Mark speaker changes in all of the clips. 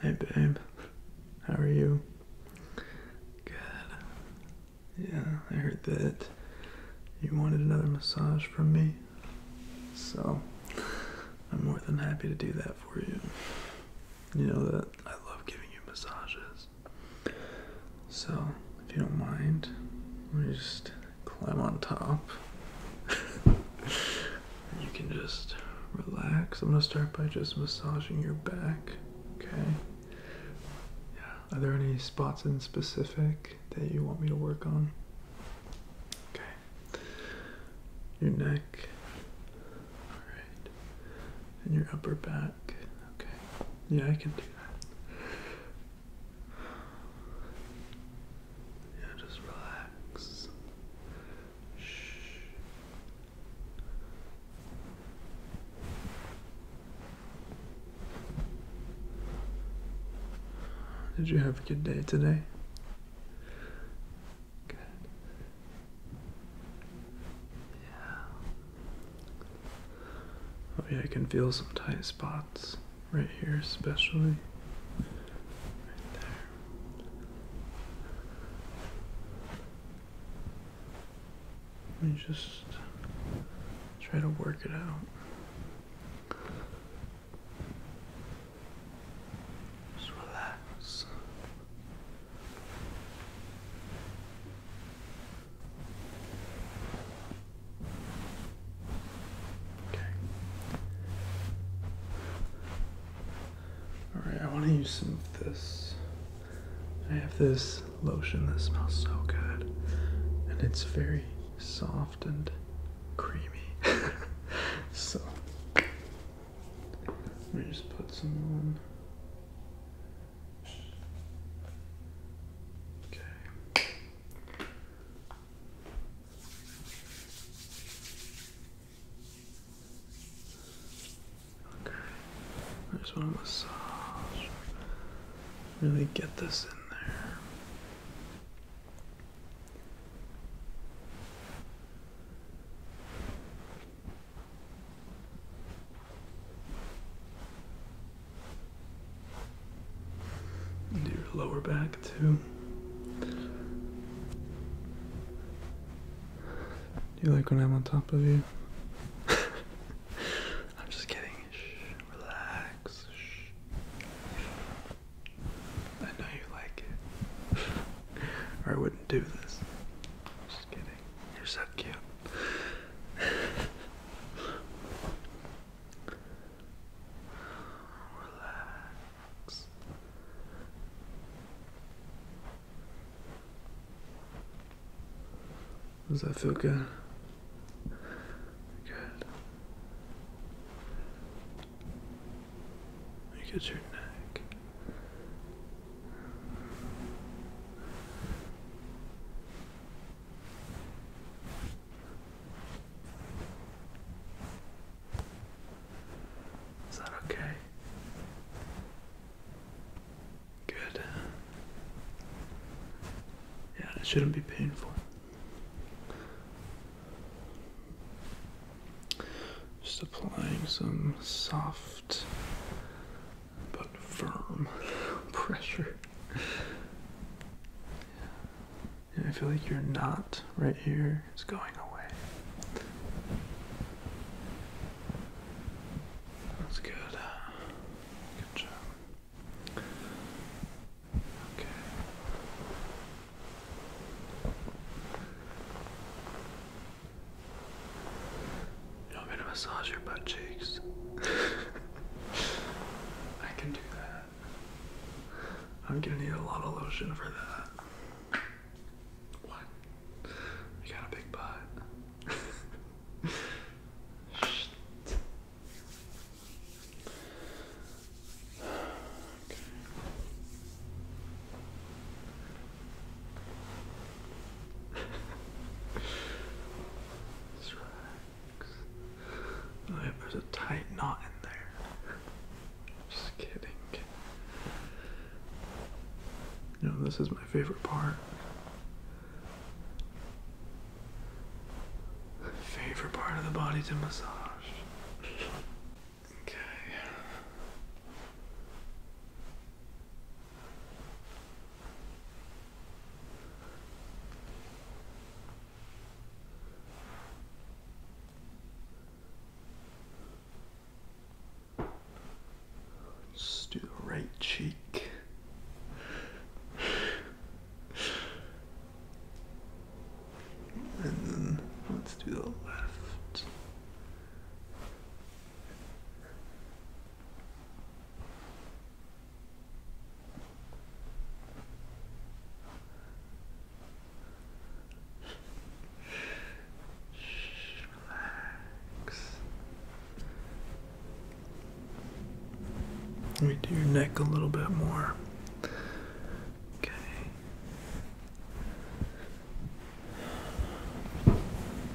Speaker 1: Hey babe, how are you? Good. Yeah, I heard that you wanted another massage from me, so I'm more than happy to do that for you. You know that I love giving you massages. So, if you don't mind, let just climb on top. you can just relax. I'm gonna start by just massaging your back, okay? Yeah. Are there any spots in specific that you want me to work on? Okay. Your neck. Alright. And your upper back. Okay. Yeah, I can do that. Yeah, just relax. Shh. Did you have a good day today? Good. Yeah. Oh yeah, I can feel some tight spots right here especially. Right there. Let me just try to work it out. Just relax. Okay. Alright, I want to use some of this. I have this lotion that smells so good. And it's very soft and creamy. so, let me just put some on. Okay. Okay. I just want to massage. Really get this in there your lower back too. Do You like when I'm on top of you? I'm just kidding. relax. I know you like it. or I wouldn't do this. Just kidding. You're so cute. Relax. Does that feel good? Good. You get your neck. Is that okay? Good. Yeah, it shouldn't be painful. Just applying some soft but firm pressure. I feel like you're not right here. It's going away. That's good. Uh, good job. Okay. You want me to massage your butt cheeks? I can do that. I'm gonna need a lot of lotion for that. What? You got a big butt. Shit. This there's a tight knot in there. Just kidding. You this is my favorite part. Favorite part of the body to massage. Okay. Let's do the right cheek. And then let's do the left. Relax. Let me do your neck a little bit more. Okay.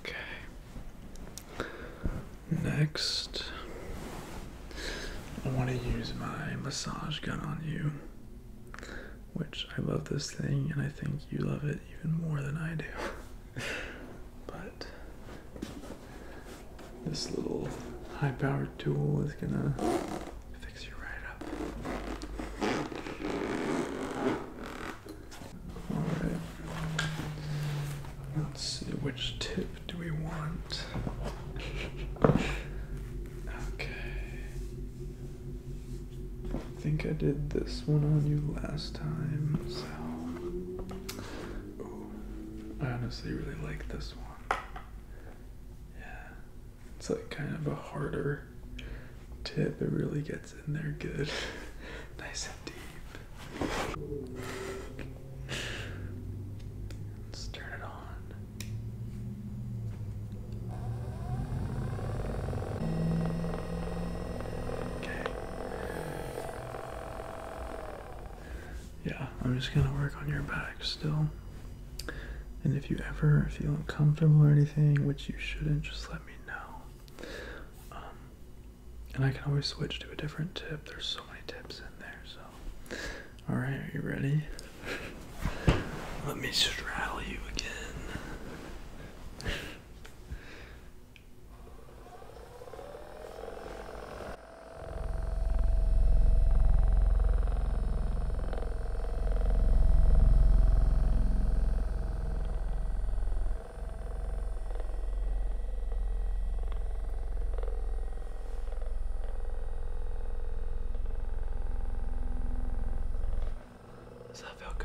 Speaker 1: Okay. Next, I want to use my massage gun on you, which I love this thing, and I think you love it even more than I do. but this little high powered tool is gonna Fix you right up. Alright. Let's see which tip do we want? Okay. I think I did this one on you last time, so I honestly really like this one. Yeah. It's like kind of a harder tip. It really gets in there good. nice and deep. Let's turn it on. Okay. Yeah, I'm just gonna work on your back still. And if you ever feel uncomfortable or anything, which you shouldn't, just let me know. Um, and I can always switch to a different tip. There's so many tips in there. So, all right, are you ready? Let me straddle you again. Does that feel good?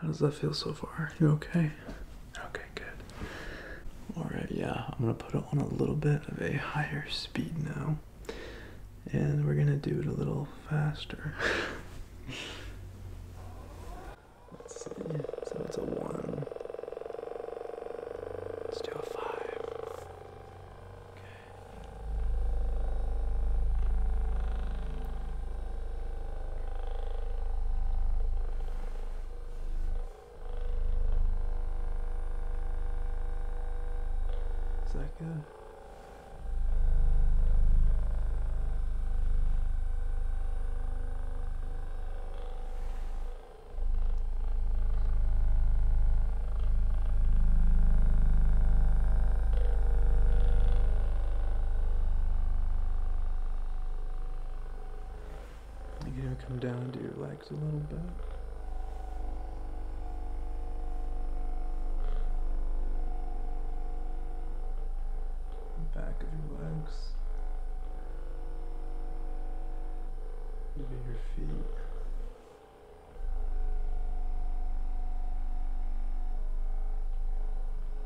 Speaker 1: How does that feel so far? You okay? Okay, good. Alright, yeah, I'm gonna put it on a little bit of a higher speed now. And we're gonna do it a little faster. Let's see. So it's a one. Let's do a five. Okay. Is that good? you can going come down to your legs a little bit. Back of your legs. Maybe feet.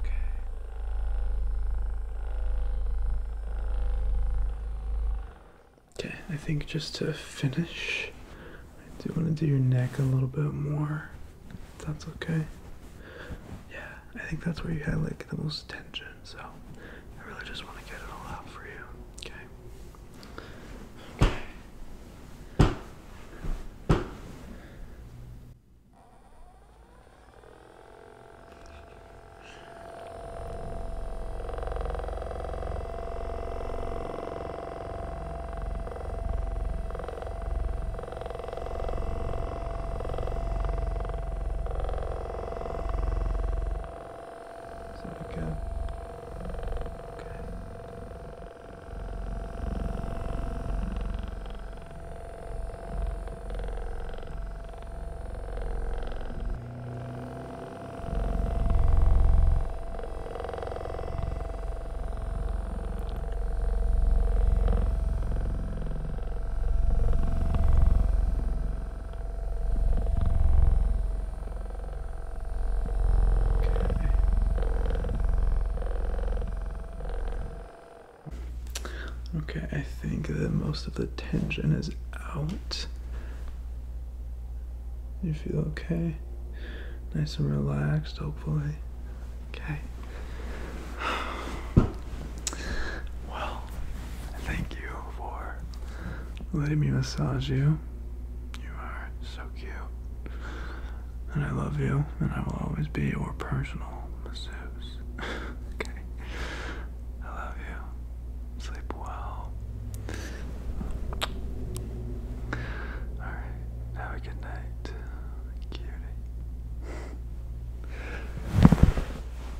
Speaker 1: Okay. Okay, I think just to finish, I do want to do your neck a little bit more. that's okay. Yeah, I think that's where you had like the most tension so I really just want to get it all out for you, okay? Okay. Is that a go? Okay. Okay. Okay, I think that most of the tension is out. You feel okay? Nice and relaxed, hopefully. Okay. Well, thank you for letting me massage you. You are so cute. And I love you, and I will always be your personal masseuse. okay. I love you. Sleep well. Alright, have a good night, cutie.